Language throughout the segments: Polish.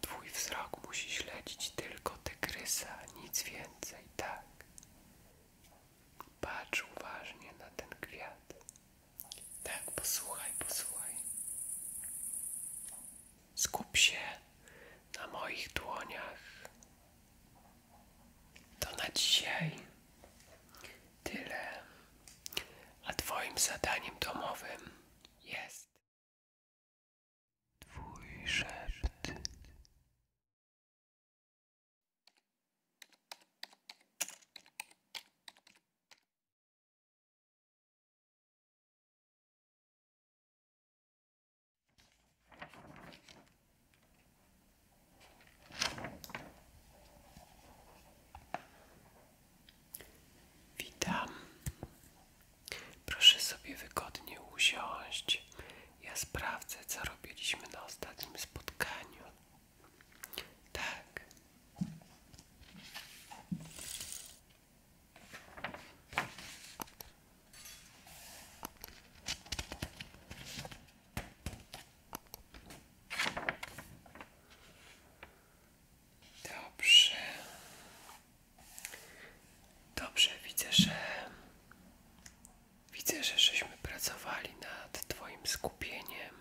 Twój wzrok musi śledzić tylko tygrysa, nic więcej, tak. Patrz uważnie na ten kwiat. Tak, posłuchaj, posłuchaj. Skup się na moich dłoniach. To na dzisiaj tyle. A Twoim zadaniem domowym jest Twój Witam. Proszę sobie wygodnie usiąść. Ja sprawdzę, co robiliśmy na ostatnim spotkaniu. Tak. Dobrze. Dobrze, widzę, że widzę, że żeśmy pracowali nad Twoim skupieniem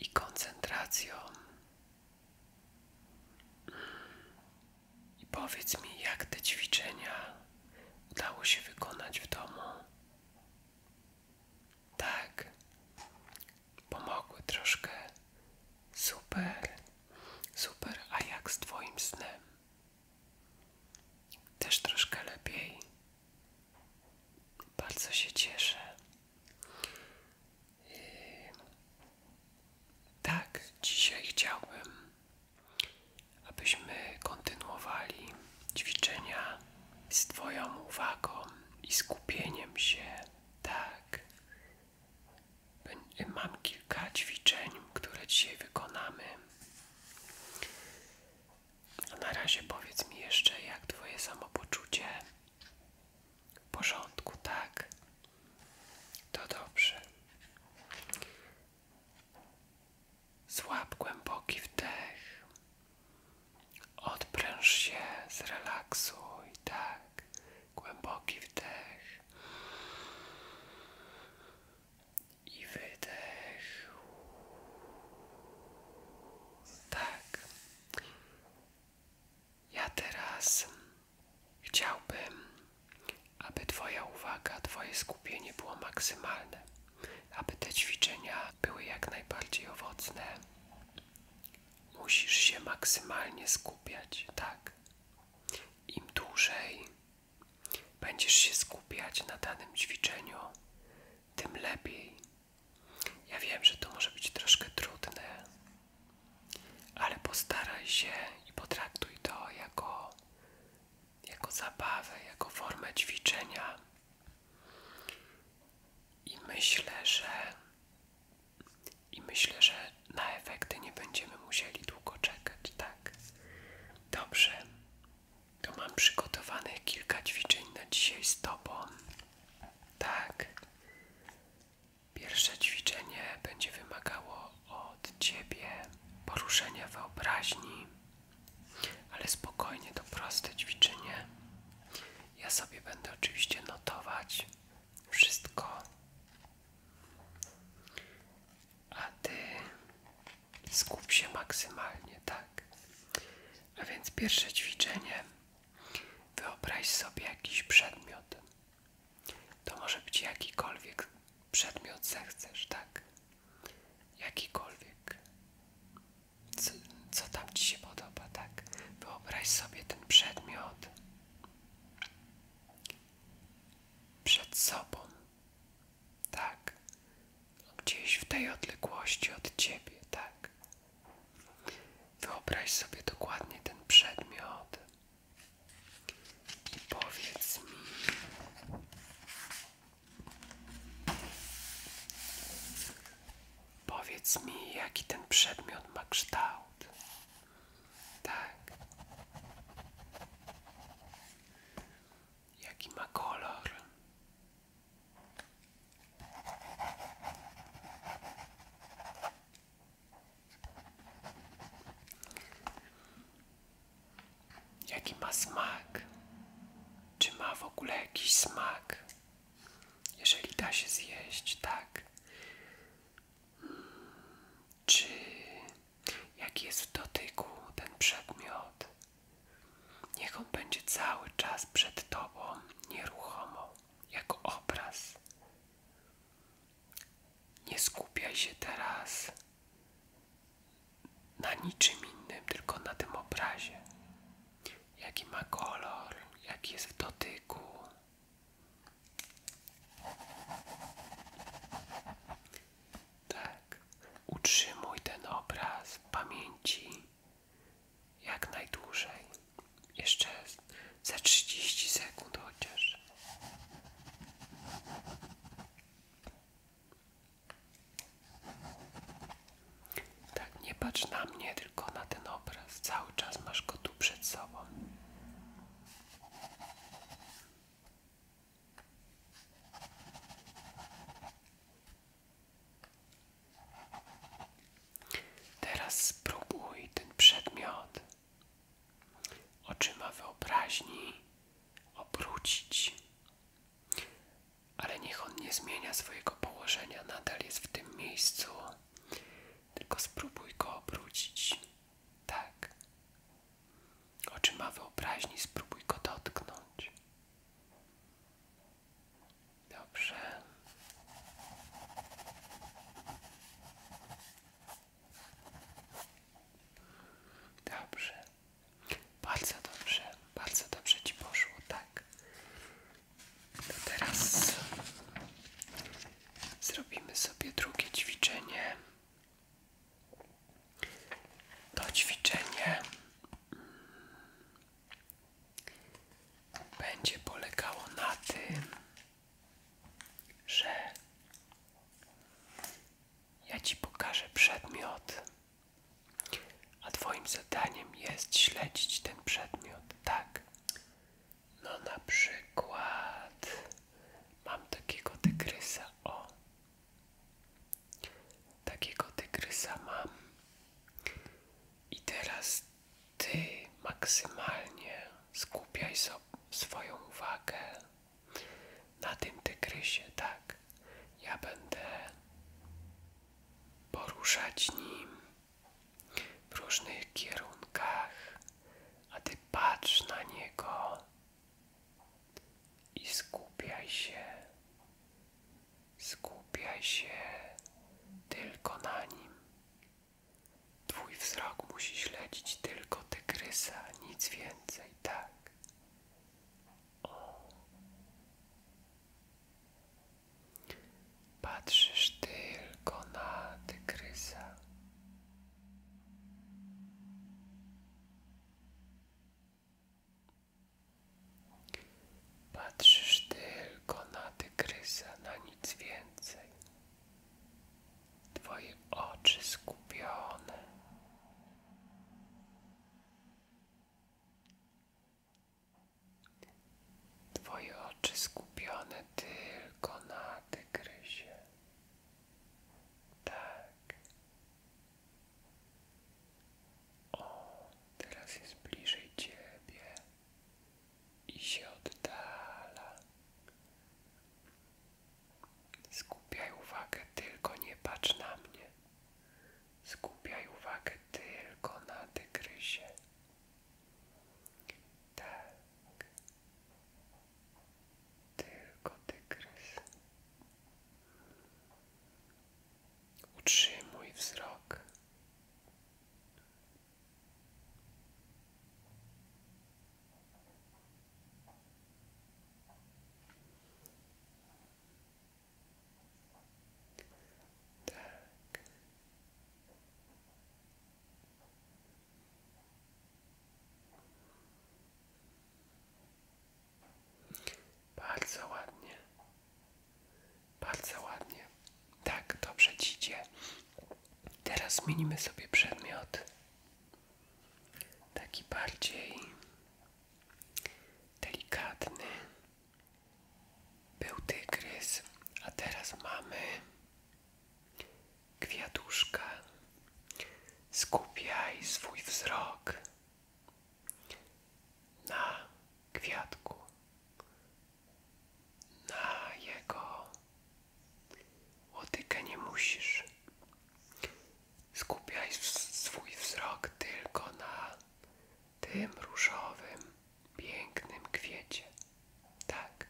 i koncentracją. I powiedz mi, jak te ćwiczenia udało się wykonać w domu. Tak, pomogły troszkę. Super, super. A jak z Twoim snem? Też troszkę lepiej. Bardzo się cieszę. Yy, tak, dzisiaj chciałbym, abyśmy kontynuowali ćwiczenia z Twoją uwagą i skupieniem się, tak. Mam kilka ćwiczeń, które dzisiaj wykonamy. A na razie powiedz mi jeszcze, jak Twoje samopoczucie. W porządku, tak? To dobrze. Złap głęboki wdech Odpręż się, zrelaksuj, tak, głęboki wdech i wydech. Tak. Ja teraz chciałbym, aby Twoja uwaga, Twoje skupienie było maksymalne, aby te ćwiczenia były jak najbardziej owocne. Musisz się maksymalnie skupiać, tak. Im dłużej będziesz się skupiać na danym ćwiczeniu, tym lepiej. Ja wiem, że to może być troszkę trudne, ale postaraj się i potraktuj to jako, jako zabawę, jako formę ćwiczenia. I myślę, że i myślę, że na efekty nie będziemy musieli długo czekać, tak? Dobrze. To mam przygotowanych kilka ćwiczeń na dzisiaj z tobą. Tak. Pierwsze ćwiczenie będzie wymagało od ciebie poruszenia wyobraźni, ale spokojnie to proste ćwiczenie. Ja sobie będę oczywiście notować wszystko, a ty skup się maksymalnie, tak? A więc pierwsze ćwiczenie. Wyobraź sobie jakiś przedmiot. To może być jakikolwiek przedmiot zechcesz, tak? Jakikolwiek co, tam ci się podoba, tak? Wyobraź sobie ten przedmiot przed sobą, tak? Gdzieś w tej odległości od ciebie, tak? Wyobraź sobie dokładnie ten przedmiot i powiedz mi, Powiedz mi, jaki ten przedmiot ma kształt. Tak. Jaki ma kolor? Jaki ma smak? Czy ma w ogóle jakiś smak? Jeżeli da się zjeść, tak. Czy jaki jest w dotyku ten przedmiot? Niech on będzie cały czas przed Tobą nieruchomo, jako obraz. Nie skupiaj się teraz na niczym innym, tylko na tym obrazie jaki ma kolor, jaki jest w dotyku. Tak, utrzymuj ten obraz w pamięci jak najdłużej. Jeszcze za trzydzieści sekund chociaż. Tak, nie patrz na mnie, tylko na ten obraz. Cały czas masz go tu przed sobą. Teraz spróbuj ten przedmiot oczyma wyobraźni obrócić ale niech on nie zmienia swojego położenia, nadal jest w tym miejscu. Tylko spróbuj go obrócić. Tak. Oczyma wyobraźni, spróbuj go dotknąć. Dobrze. Dobrze. Bardzo dobrze. Bardzo dobrze ci poszło, tak teraz zrobimy sobie drugie ćwiczenie. To ćwiczenie będzie polegało na tym, że ja ci pokażę przedmiot a twoim zadaniem jest śledzić ten przedmiot, tak? No na przykład mam takiego tygrysa, o. Takiego tygrysa mam. I teraz ty maksymalnie skupiaj swoją uwagę na tym tygrysie, tak? Ja będę poruszać nim w różnych kierunkach, a ty patrz na niego i skupiaj się, skupiaj się tylko na nim. Twój wzrok musi śledzić tylko tygrysa, nic więcej, tak. Patrzysz tylko na tygrysa. Patrzysz tylko na tygrysa, na nic więcej. Twoje oczy skupione Twoje oczy skupione tylko na tygrysie. Tak. O, teraz jest bliżej ciebie i się oddala. Skupiaj uwagę, tylko nie patrz na mnie. Skupiaj uwagę tylko na tygrysie. Tak. Tylko tygrys. Utrzymuj wzrok. Tak. Bardzo ładnie. Bardzo ładnie. Tak, dobrze ci Teraz zmienimy sobie przedmiot. Taki bardziej delikatny. Był tygrys, a teraz mamy kwiatuszkę. Skupiaj swój wzrok na kwiatku, na jego łotykę nie musisz. Skupiaj swój wzrok tylko na tym różowym, pięknym kwiecie. Tak.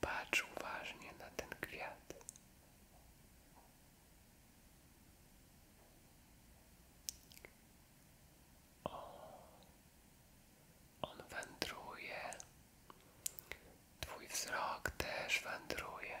Patrz uważnie na ten kwiat. O, on wędruje. Twój wzrok też wędruje.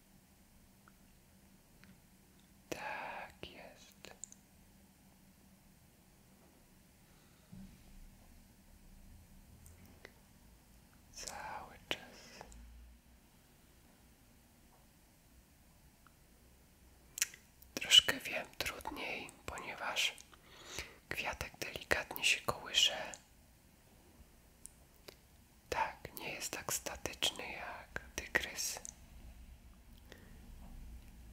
Tak jest. Cały czas. Troszkę wiem trudniej, ponieważ kwiatek delikatnie się kołysze tak, nie jest tak statyczny jak tygrys.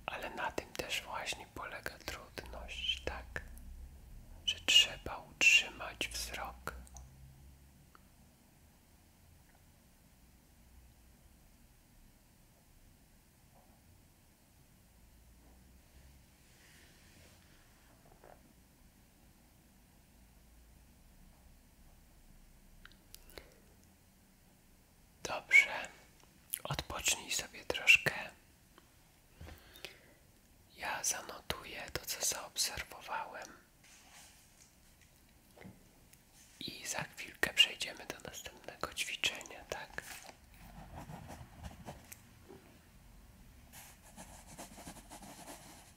Ale na tym też właśnie polega trudność, tak? Że trzeba utrzymać wzrok. Dobrze, odpocznij sobie troszkę. Ja zanotuję to, co zaobserwowałem, i za chwilkę przejdziemy do następnego ćwiczenia, tak?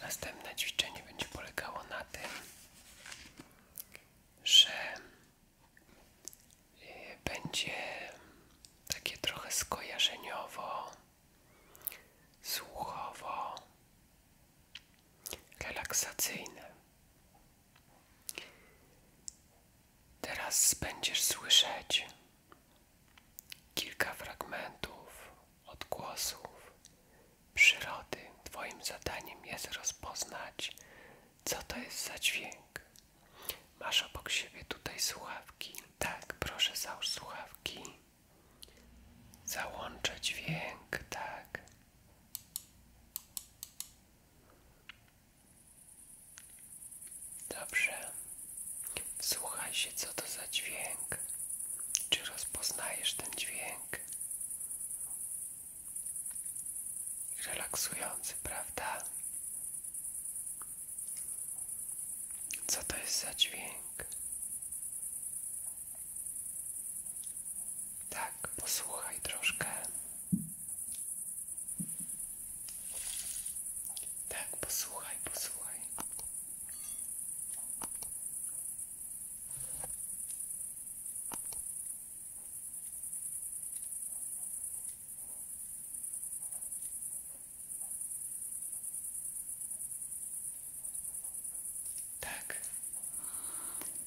Następne ćwiczenie będzie polegało na tym, że y, będzie takie trochę skojarzeniowo, słuchowo, relaksacyjne. Teraz będziesz słyszeć kilka fragmentów, odgłosów przyrody. Twoim zadaniem jest rozpoznać, co to jest za dźwięk. Masz obok siebie tutaj słuchawki. Tak, proszę załóż słuchawki. Załączę dźwięk, tak. Dobrze. Słuchaj się, co to za dźwięk. Czy rozpoznajesz ten dźwięk? Relaksujący, prawda? Co to jest za dźwięk? Tak, posłuchaj troszkę. Tak, posłuchaj, posłuchaj. Tak,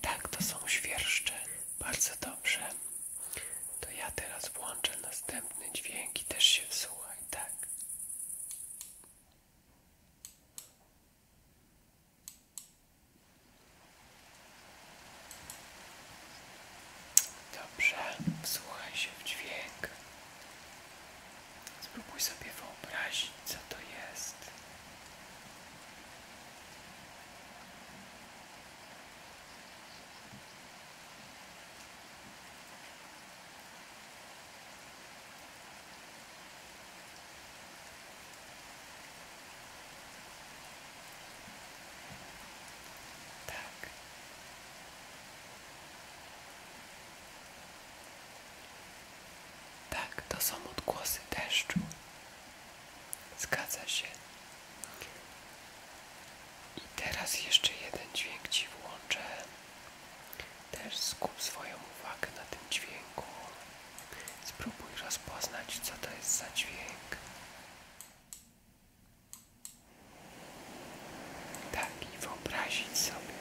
tak, to są świerszcze. Bardzo dobrze. To ja teraz włączę następne dźwięki. też się wsłuchaj, tak. Dobrze, wsłuchaj się w dźwięk. Spróbuj sobie wyobrazić, co to jest. Tak. Tak, to są odgłosy deszczu. Zgadza się. I teraz jeszcze jeden dźwięk Ci włączę. Też skup swoją uwagę na tym dźwięku. Spróbuj rozpoznać, co to jest za dźwięk. Tak, i wyobrazić sobie.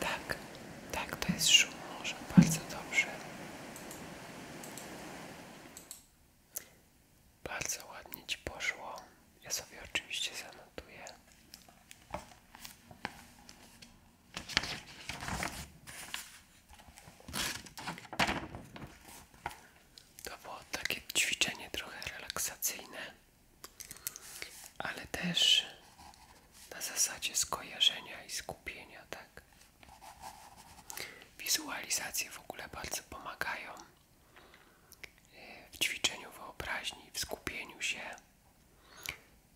Tak, tak, to jest szum morza, bardzo dobrze. Bardzo ładnie Ci poszło. Ja sobie oczywiście zanotuję. To było takie ćwiczenie trochę relaksacyjne, ale też na zasadzie skojarzenia i skupienia, tak? Wizualizacje w ogóle bardzo pomagają e, w ćwiczeniu wyobraźni, w skupieniu się.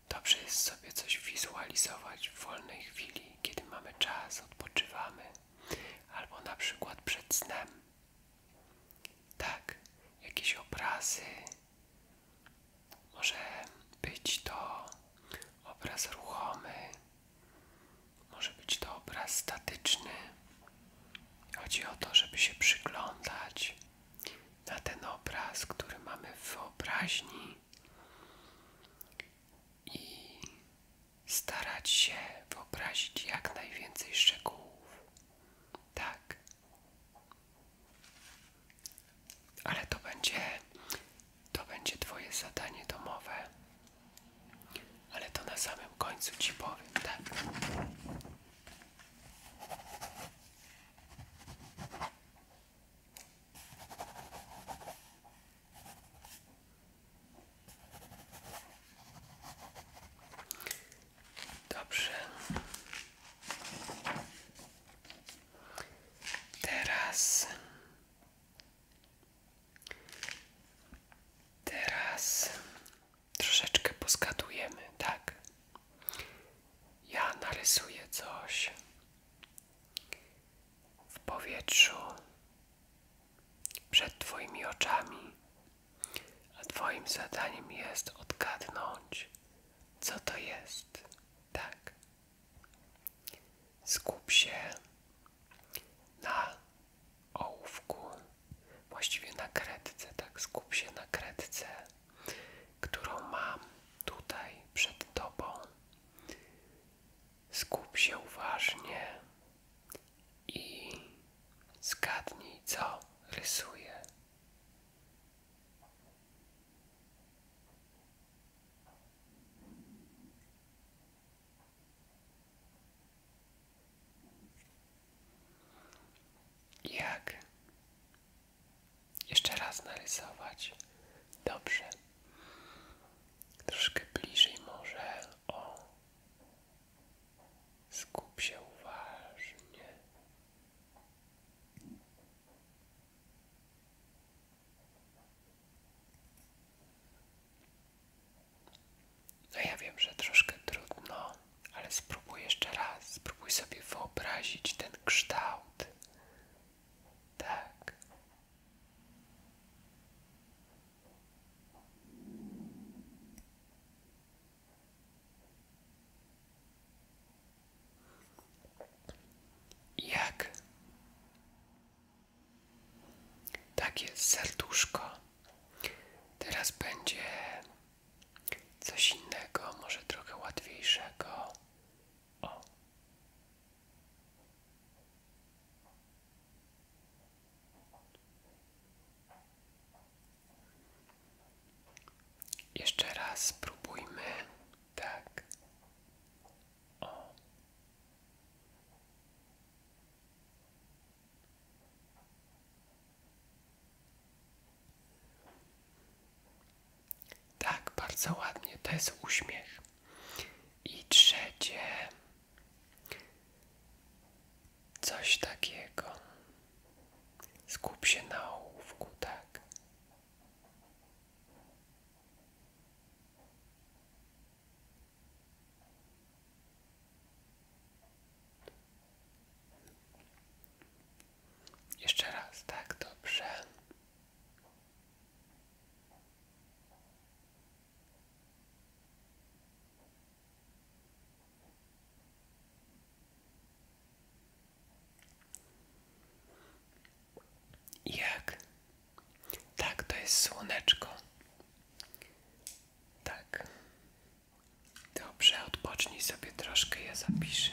Dobrze jest sobie coś wizualizować w wolnej chwili, kiedy mamy czas, odpoczywamy, albo na przykład przed snem. Tak, jakieś obrazy. Może być to obraz ruchomy, może być to obraz statyczny. Chodzi o to, żeby się przyglądać na ten obraz, który mamy w wyobraźni i starać się wyobrazić jak najwięcej szczegółów. Tak. Ale to będzie to będzie Twoje zadanie domowe, ale to na samym końcu Ci powiem, tak? Dobrze. Teraz Teraz troszeczkę poskadujemy, tak? Ja narysuję coś w powietrzu przed Twoimi oczami, a Twoim zadaniem jest odgadnąć, co to jest, tak? Skup się na ołówku, właściwie na kredce, tak? Skup się na kredce, którą mam tutaj przed tobą. Skup się uważnie i zgadnij, co rysuję. Jak jeszcze raz narysować? Dobrze. Troszkę bliżej może. O. Skup się uważnie. No ja wiem, że troszkę trudno, ale spróbuj jeszcze raz, spróbuj sobie wyobrazić ten kształt. Tak. Jak takie serduszko. Teraz będzie coś innego, może trochę łatwiejszego. Jeszcze raz spróbujmy. Tak. Tak, bardzo ładnie, to jest uśmiech. I trzecie coś takiego. Skup się na ołówku, tak. Jeszcze raz, tak dobrze. Jak tak, to jest słoneczko. Tak. Dobrze, odpocznij sobie troszkę, ja zapiszę.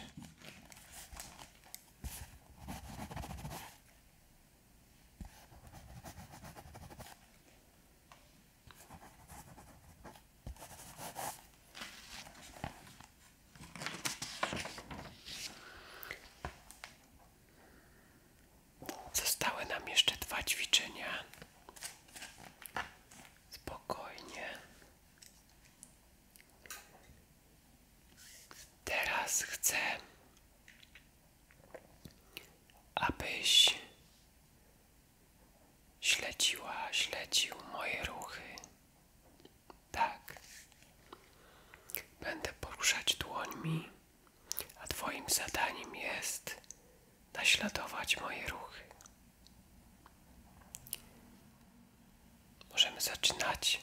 Zostały nam jeszcze dwa ćwiczenia. Spokojnie. Teraz chcę, abyś śledziła, śledził moje ruchy. Tak. Będę poruszać dłońmi, a Twoim zadaniem jest naśladować moje ruchy. Możemy zaczynać.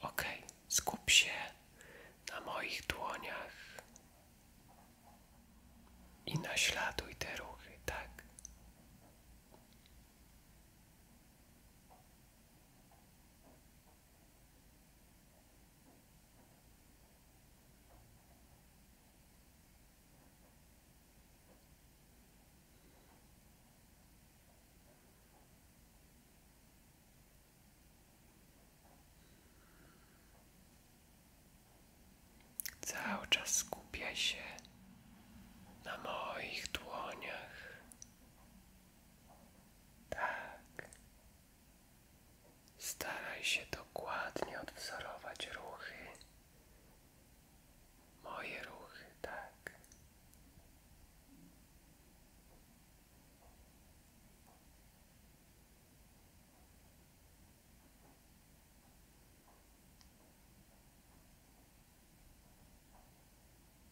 Ok, skup się na moich dłoniach i naśladuj te ruchy, tak. Cały czas skupia się na moich dłoniach, tak. Staraj się dokładnie odwzorować ruchy. Moje ruchy, tak.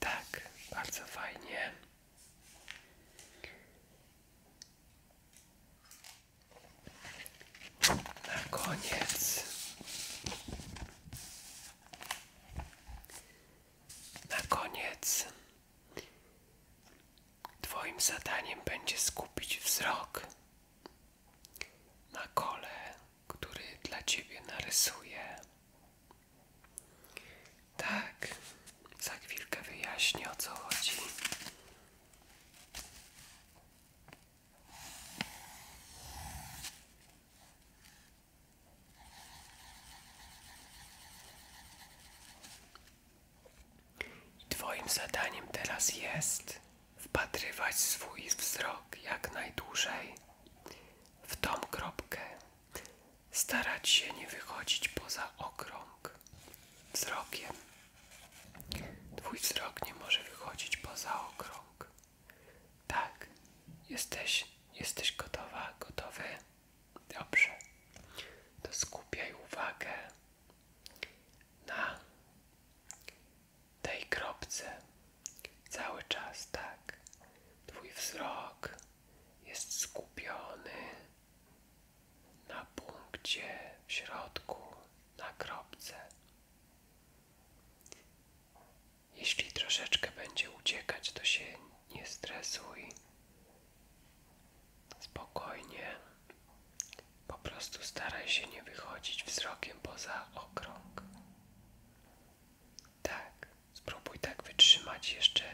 Tak, bardzo fajnie. Na koniec. Na koniec. Twoim zadaniem będzie skupić wzrok na kole, który dla ciebie narysuje. Tak, za chwilkę wyjaśnię o co chodzi. twoim zadaniem teraz jest wpatrywać swój wzrok jak najdłużej w tą kropkę, starać się nie wychodzić poza okrąg wzrokiem. Twój wzrok nie może wychodzić poza okrąg. Tak, jesteś, jesteś gotowa, gotowy? Dobrze. To skupiaj uwagę na tej kropce cały czas, tak. Twój wzrok jest skupiony na punkcie w środku, na kropce. Jeśli troszeczkę będzie uciekać, to się nie stresuj. Spokojnie. Po prostu staraj się nie wychodzić wzrokiem poza okrąg. Tak, spróbuj tak wytrzymać jeszcze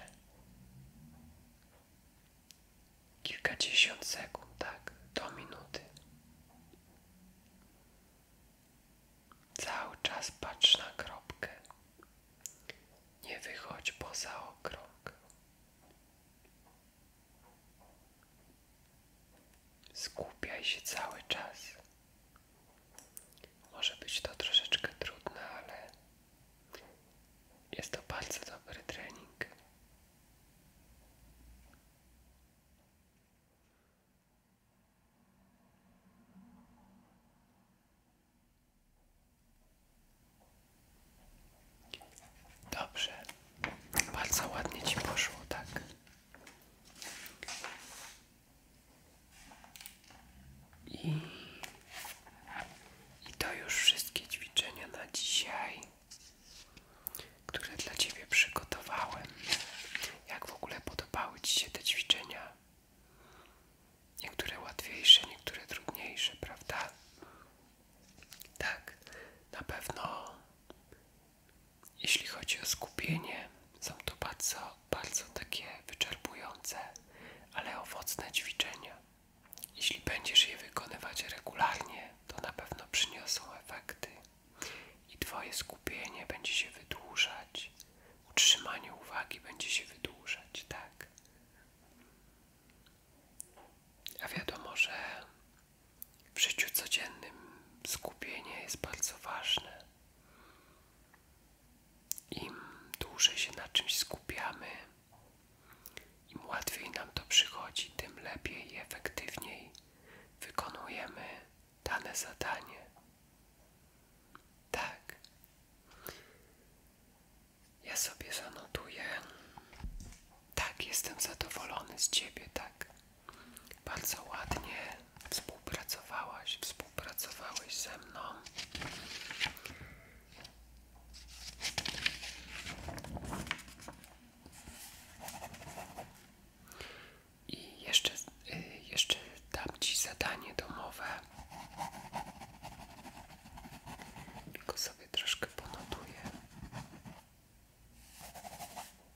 kilkadziesiąt sekund, tak, do minuty. Cały czas patrz na kropkę. Nie wychodź poza okrąg. Skupiaj się cały czas. Może być to troszeczkę trudne, ale jest to bardzo dobry trening. Dobrze, bardzo ładnie ci poszło, tak? I, to już wszystkie ćwiczenia na dzisiaj, które dla Ciebie przygotowałem. Jak w ogóle podobały Ci się te ćwiczenia? Niektóre łatwiejsze, niektóre trudniejsze, prawda? Tak, na pewno jeśli chodzi o skupienie, są to bardzo, bardzo takie wyczerpujące, ale owocne ćwiczenia. Jeśli będziesz je wykonywać regularnie, to na pewno przyniosą efekty i Twoje skupienie będzie się wydłużać, utrzymanie uwagi będzie się wydłużać, tak? A wiadomo, że w życiu codziennym skupienie jest bardzo ważne. Im dłużej się na czymś skupiamy, im łatwiej nam to przychodzi, tym lepiej i efektywniej wykonujemy dane zadanie. Tak. Ja sobie zanotuję. Tak, jestem zadowolony z ciebie, tak. Bardzo ładnie współpracowałaś, współpracowałeś ze mną. I jeszcze, y, jeszcze dam Ci zadanie domowe. Tylko sobie troszkę ponotuję.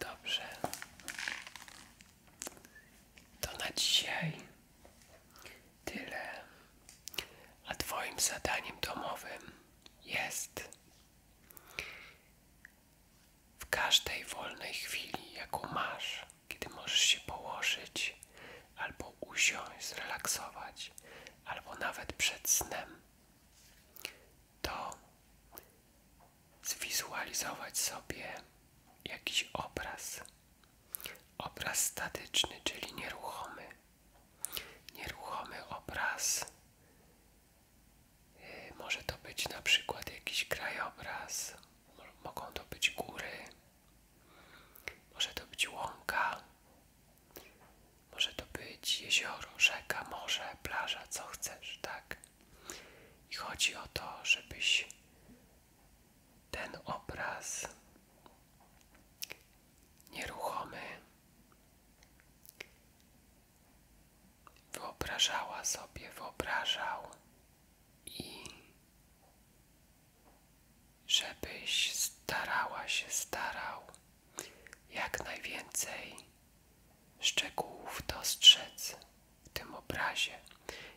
Dobrze. To na dzisiaj tyle. A Twoim zadaniem domowym jest w każdej wolnej chwili, jaką masz, kiedy możesz się położyć, albo usiąść, zrelaksować, albo nawet przed snem, to zwizualizować sobie jakiś obraz. Obraz statyczny, czyli nieruchomy. Nieruchomy obraz. Y, może to być na przykład jakiś krajobraz, mogą to być góry, może to być łąka, może to być jezioro, rzeka, morze, plaża, co chcesz, tak? I chodzi o to, żebyś ten obraz nieruchomy wyobrażała sobie, wyobrażał i żebyś starała się, starał jak najwięcej szczegółów dostrzec w tym obrazie.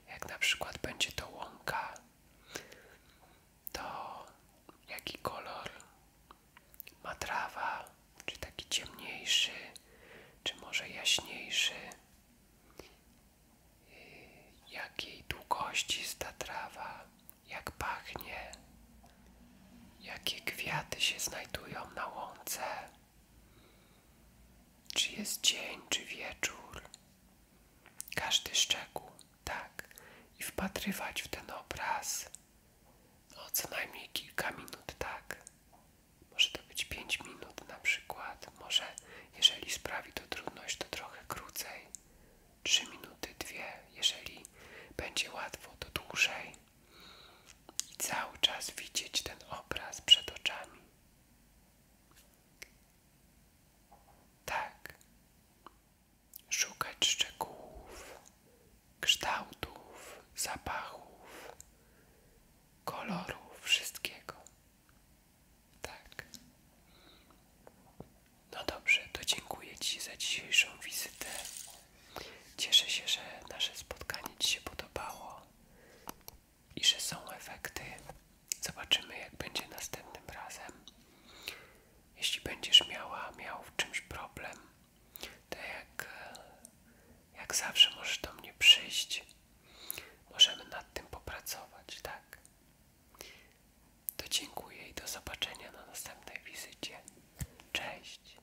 Jak na przykład będzie to łąka, to jaki kolor ma trawa, czy taki ciemniejszy, czy może jaśniejszy, jakiej długości jest ta trawa, jak pachnie, jakie kwiaty się znajdują na łące. Czy jest dzień, czy wieczór? Każdy szczegół, tak, i wpatrywać w ten obraz. No, co najmniej kilka minut, tak. Może to być 5 minut na przykład. Może, jeżeli sprawi to trudność, to trochę krócej. 3 minuty, 2. Jeżeli będzie łatwo, to dłużej i cały czas widzieć ten obraz przed oczami. Tak, szukać szczegółów, kształtów, zapachów, kolorów, wszystkiego. Tak. No dobrze, to dziękuję Ci za dzisiejszą wizytę. Cieszę się, że nasze spotkanie Ci się podobało i że są efekty. Zobaczymy, jak będzie następnym razem. Jeśli będziesz miała, miał w czymś problem, to jak, jak zawsze możesz do mnie przyjść. Możemy nad tym popracować, tak? To dziękuję i do zobaczenia na następnej wizycie. Cześć!